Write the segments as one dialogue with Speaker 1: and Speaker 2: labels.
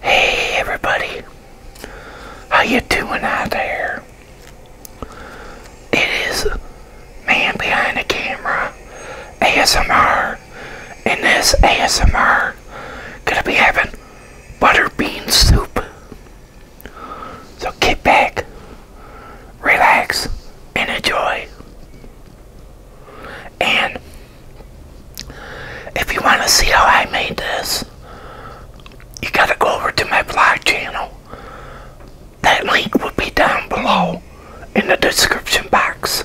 Speaker 1: Hey everybody, how you doing out there? It is man behind the camera, ASMR, and this ASMR gonna be having butter bean soup. So get back, relax, and enjoy. And if you want to see how I made this, you got to go over to my blog channel. That link will be down below in the description box.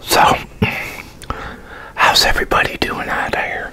Speaker 1: So, how's everybody doing out here?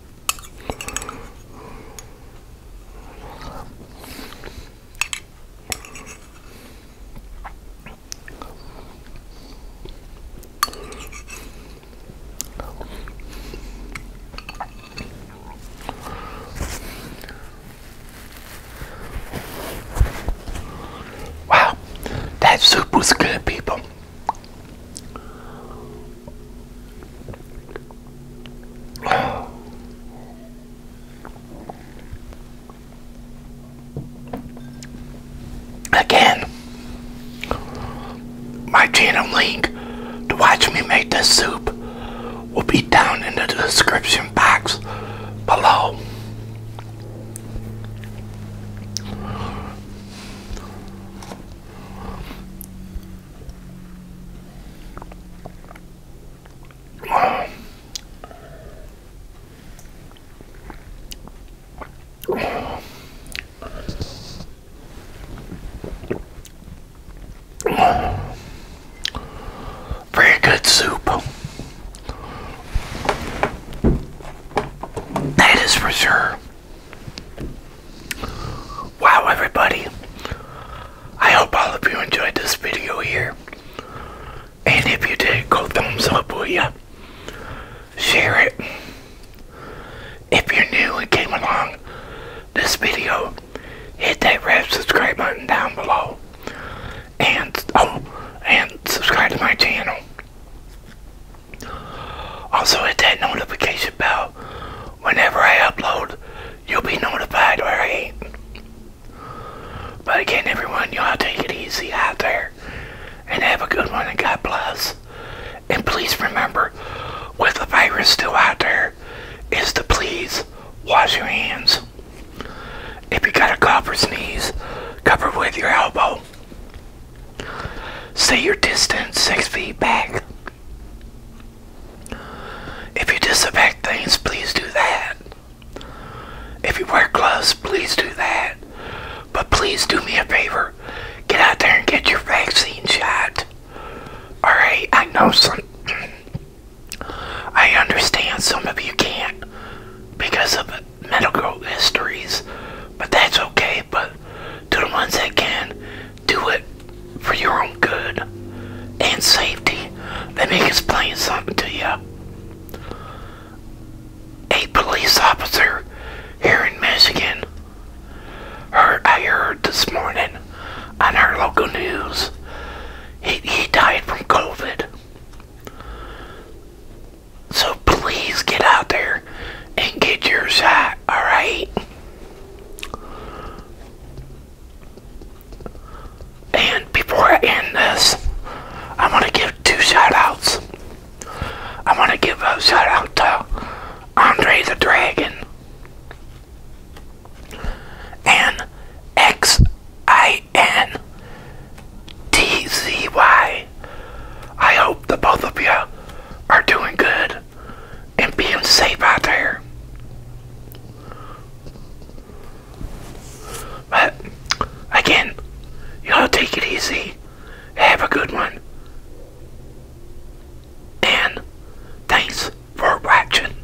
Speaker 1: Wow, that soup was good, people. Again, my channel link to watch me make this soup will be down in the description box below. Very good soup. That is for sure. Wow, everybody. I hope all of you enjoyed this video here. And if you did, go thumbs up, will ya? Share it. If you're new and came along this video, hit that red subscribe button down below. And, oh, and subscribe to my channel. Also, hit that notification bell. Whenever I upload, you'll be notified, alright? But again, everyone, y'all take it easy out there and have a good one, and God bless. And please remember, with the virus still out there, is to please wash your hands. If you got a cough or sneeze, cover with your elbow go. Say your distance six feet back. If you disinfect things, please do that. If you wear gloves, please do that. But please do me a favor. Get out there and get your vaccine shot. Alright, I know some... I understand some of you can't because of medical histories, but that's okay. But to the ones that can, do it for your own good and safety. Let me explain something to you. A police officer here in Michigan, heard, I heard this morning on our local news, he, he died from COVID. So please get out there and get yours out. alright? And before I end this, I want to give two shout outs. I want to give a shout out to Andre the Dragon and XI N T Z Y. I hope that both of you are doing good and being safe out there. But again, y'all take it easy. Have a good one. And thanks for watching.